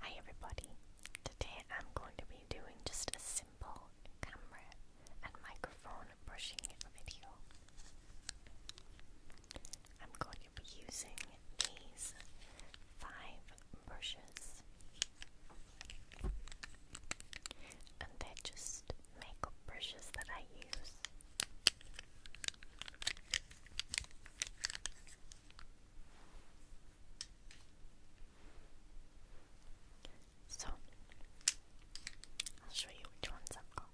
Hi everybody, today I'm going to be doing just a simple camera and microphone brushing video. I'm going to be using these five brushes and they're just makeup brushes that I use. So, I'll show you which ones I've got.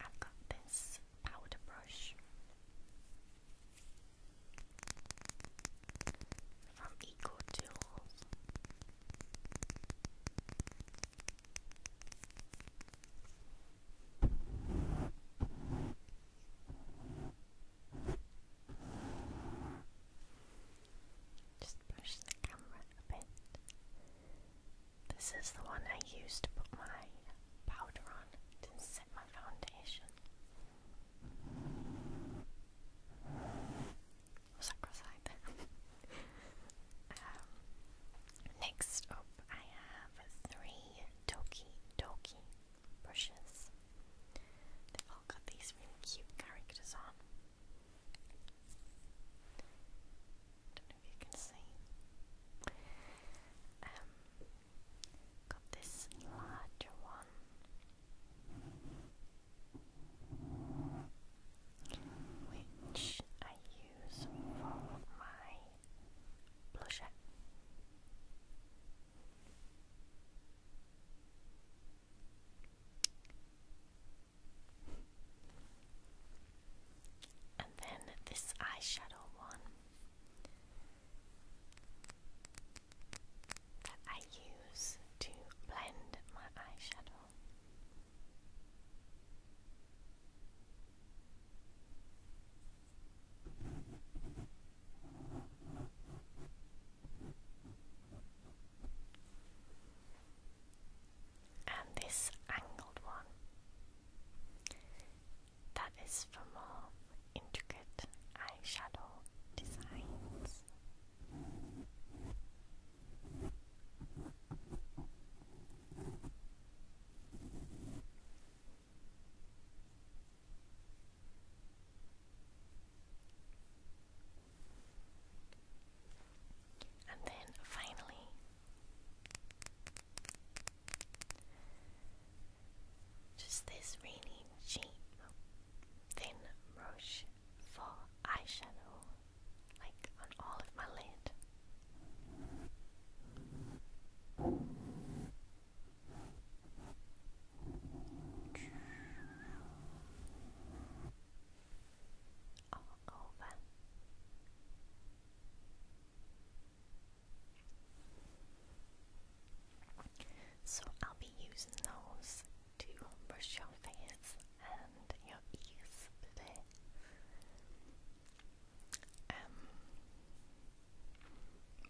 I've got this powder brush from Eco Tools. Just push the camera a bit. This is the one I used to put my powder on to set my foundation. Um, next up, I have three Doki Doki brushes. They've all got these really cute characters on. Don't know if you can see. Um, Got this larger one, which I use for my blusher. And then this eyeshadow one that I use to blend my eyeshadow. And this angled one that is for more intricate eyeshadow designs. And then finally, just this really cheap thin brush for eyeshadow, like on all of my lid. All over. So I'll be using those to brush your face and your ears today. Um,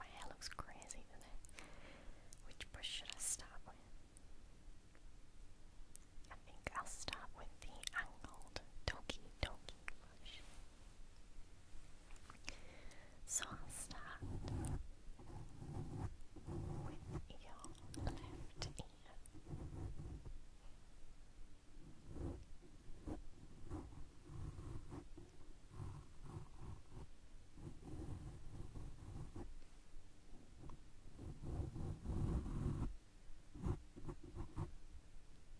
my hair looks crazy today. Which brush should I start with? I think I'll start with the angled Doki Doki blush. So I'll start with your left ear.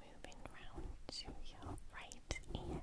Moving round to your right ear.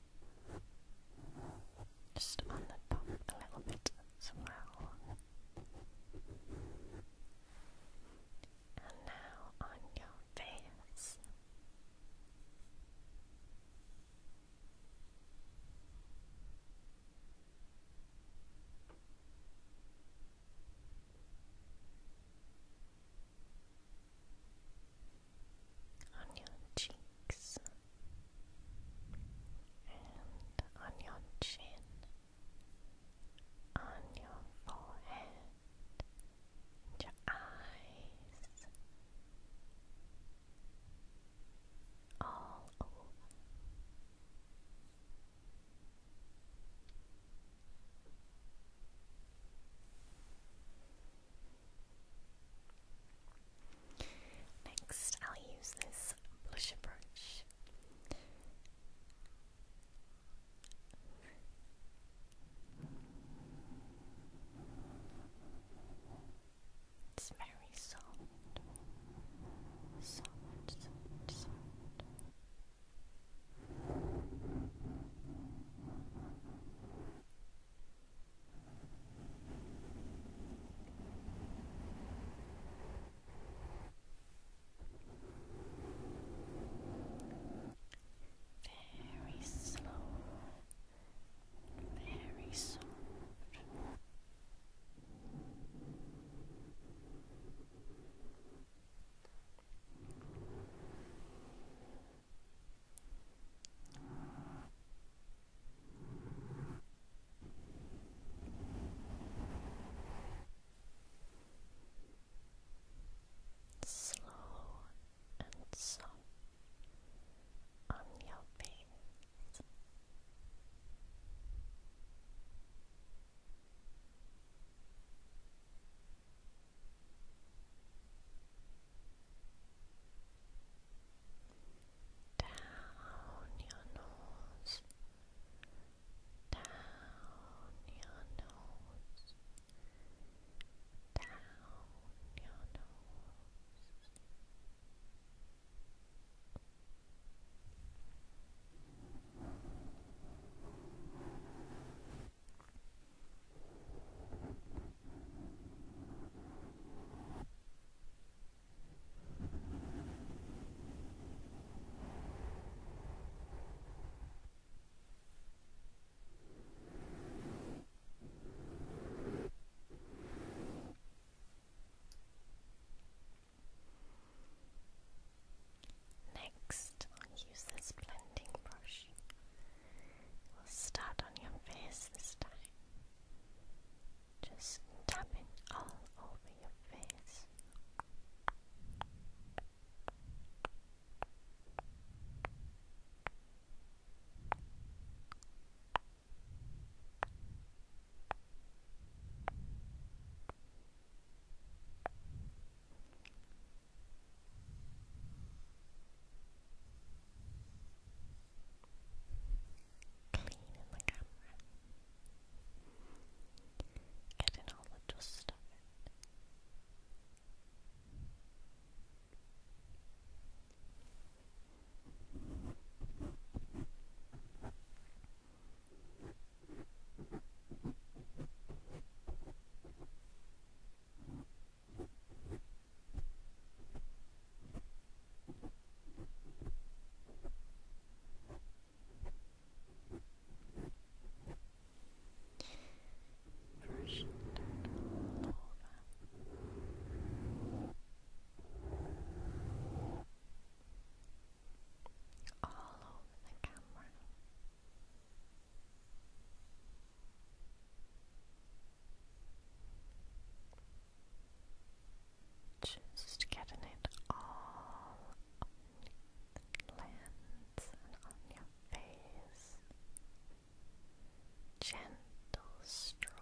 Just on the top a little bit as well. And now on your face on your cheeks and on your chin, on your forehead, and your eyes, all over. Now Next, I'll use this blusher brush. It's very soft, soft, very slow, very soft slow and soft on your face down your nose, down your nose, down your nose. Next, I'll use this blending brush We'll start on your face this time. Just tapping all over your face. Clean in the camera. Getting all the dust off it. Brush that All over the camera. Just getting it all on lens and on your face. Gentle stroke.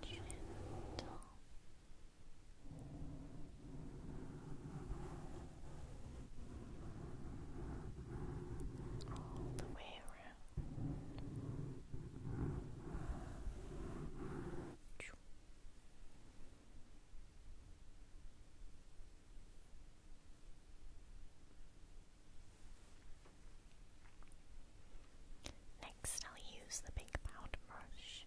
Gentle all the way around. Next, I'll use the big pound brush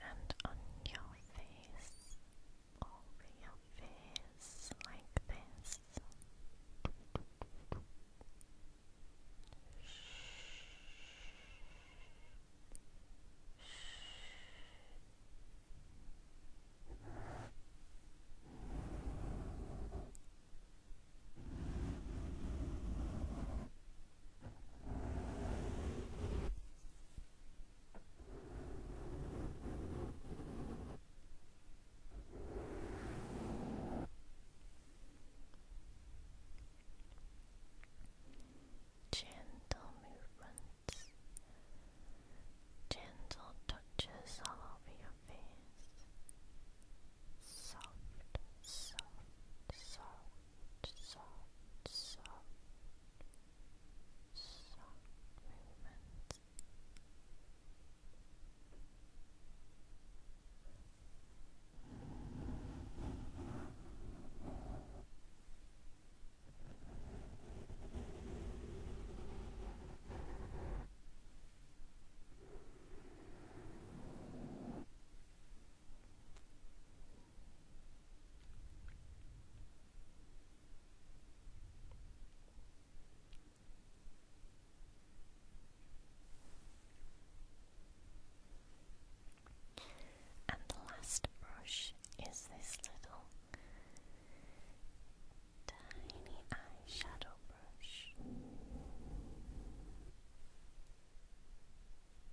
and on your face, over your face, like this. Shh. Shh. Gentle movements, gentle touches all over your face. Soft, soft, soft soft, soft, soft movements. And the last brush is this little tiny eyeshadow brush.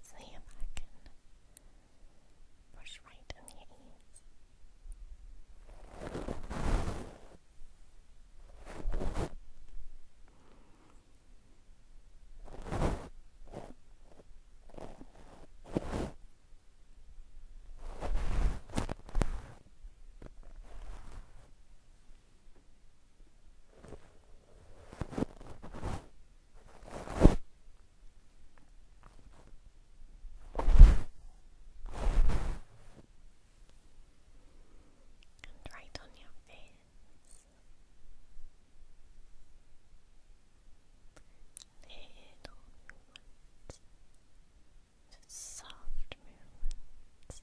See if I can push right in your ears. And right on your face. Little movements. soft movements.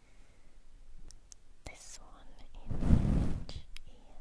this one in each ear.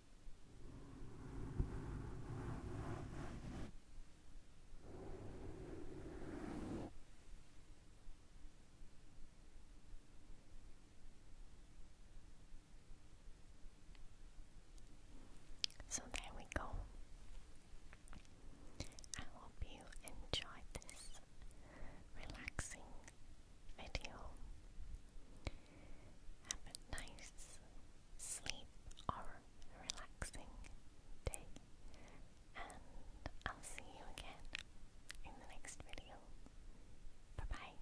So there we go. I hope you enjoyed this relaxing video. Have a nice sleep or relaxing day, and I'll see you again in the next video. Bye bye.